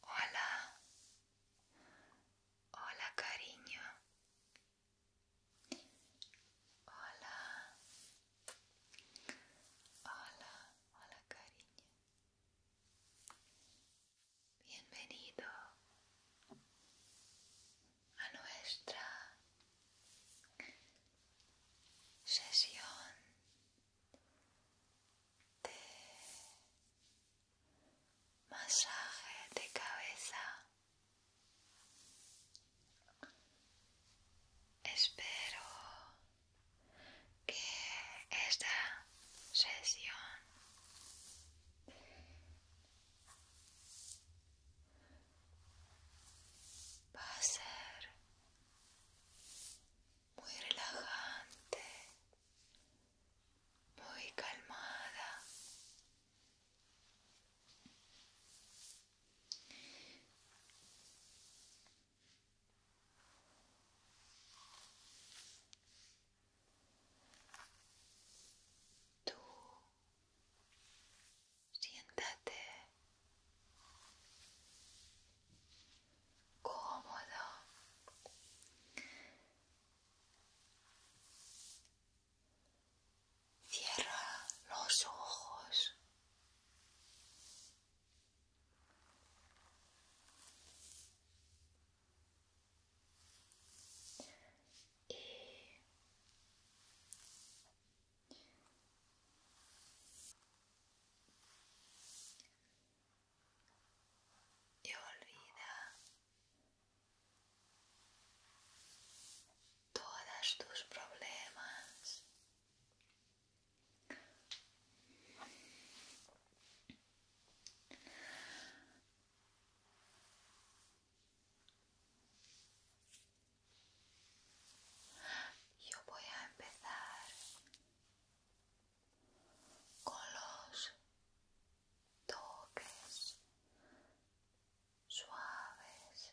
Hola, hola cariño. Hola, hola, hola cariño. Bienvenido a nuestra sesión masaje de cabeza espero que esta sesión va a ser muy relajante, muy calmada. Tú Siéntate cómodo. Cierra los ojos. Y y olvida todos tus problemas yo voy a empezar con los toques suaves.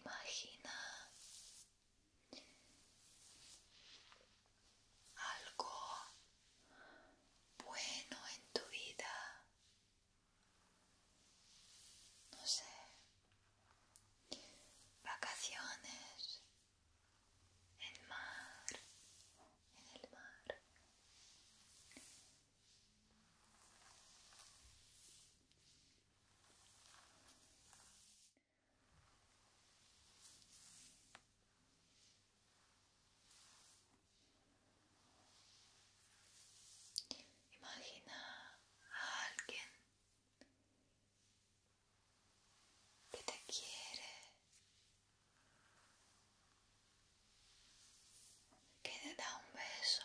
Imagina algo bueno en tu vida no sé, vacaciones, en el mar, en el mar. Imagina a alguien que te quiere, que te da un beso.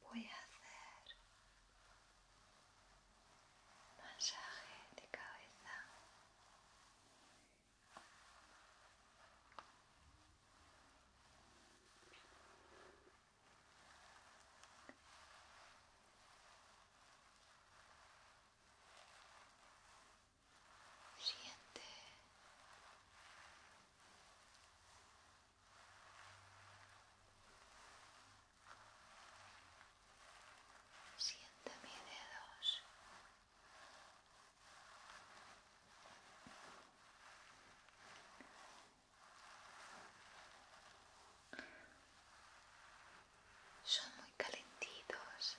voy a hacer masaje de cabeza Siente Siente mis dedos. Son muy calentitos.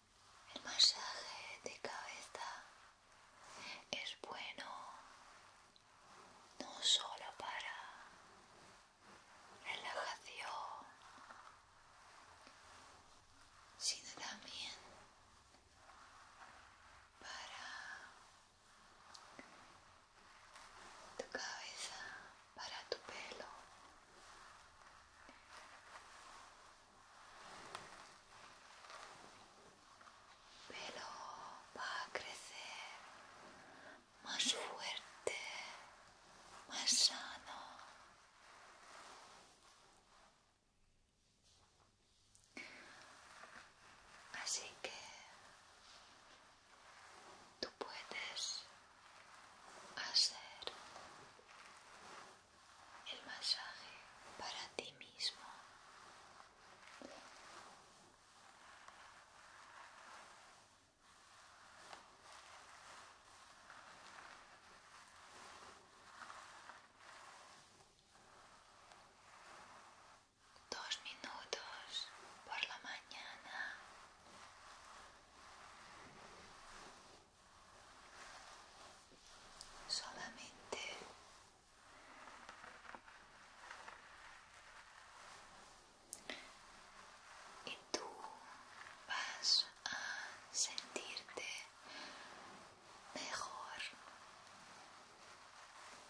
El masaje de cabeza es bueno no solo para relajación, sino también para tu cabeza, para tu pelo pelo va a crecer más fuerte, más sano. Así que tú puedes hacer el masaje para ti mismo. Dos minutos por la mañana. Solamente y tú vas a sentirte mejor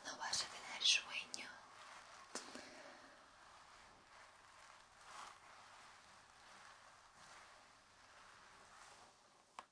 no vas a tener sueño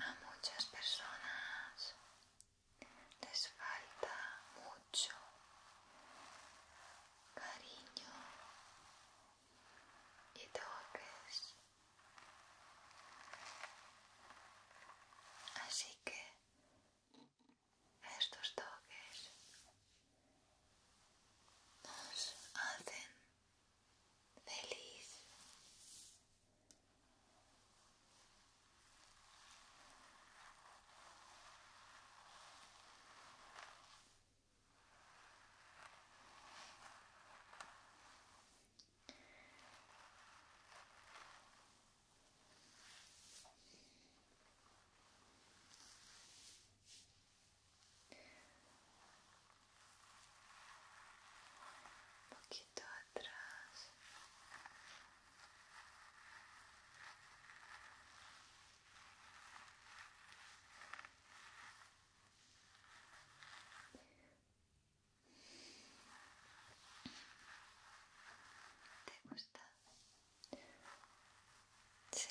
A muchas personas les falta mucho cariño y toques. Así que estos toques nos hacen feliz. Un poquito atrás. ¿Te gusta? Sí.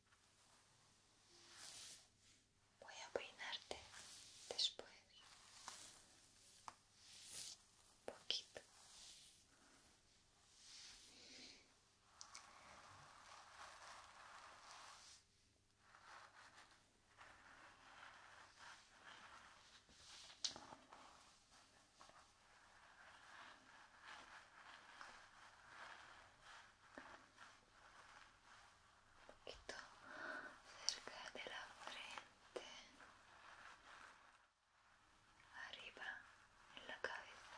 Voy a peinarte después. poquito un poquito cerca de la frente arriba en la cabeza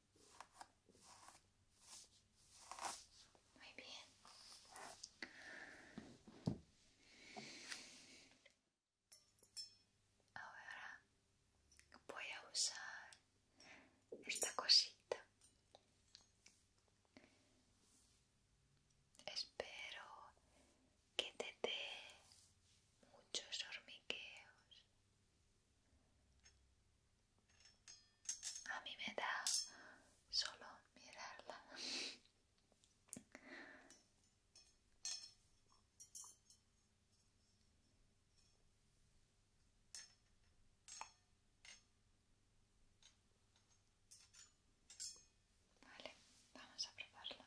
Muy bien. Ahora voy a usar esta cosita. Espero que te dé muchos hormigueos a mí me da solo mirarla. Vale, vamos a probarla.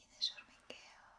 Tienes hormigueos.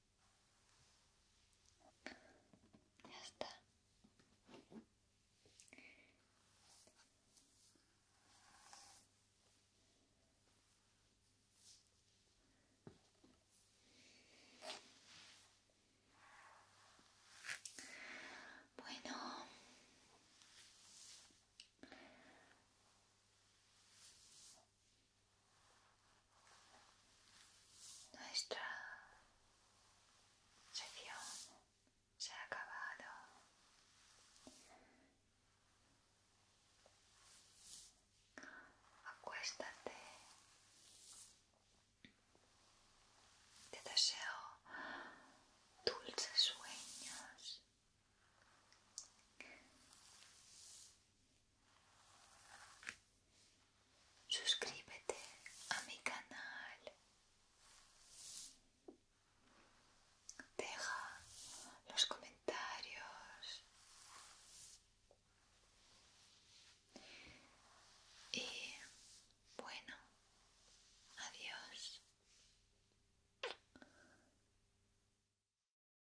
Ya está. Bueno, nuestra sección se ha acabado. Acuéstate. Te deseo dulces sueños. Suscríbete a mi canal. Deja los comentarios. Y bueno, adiós.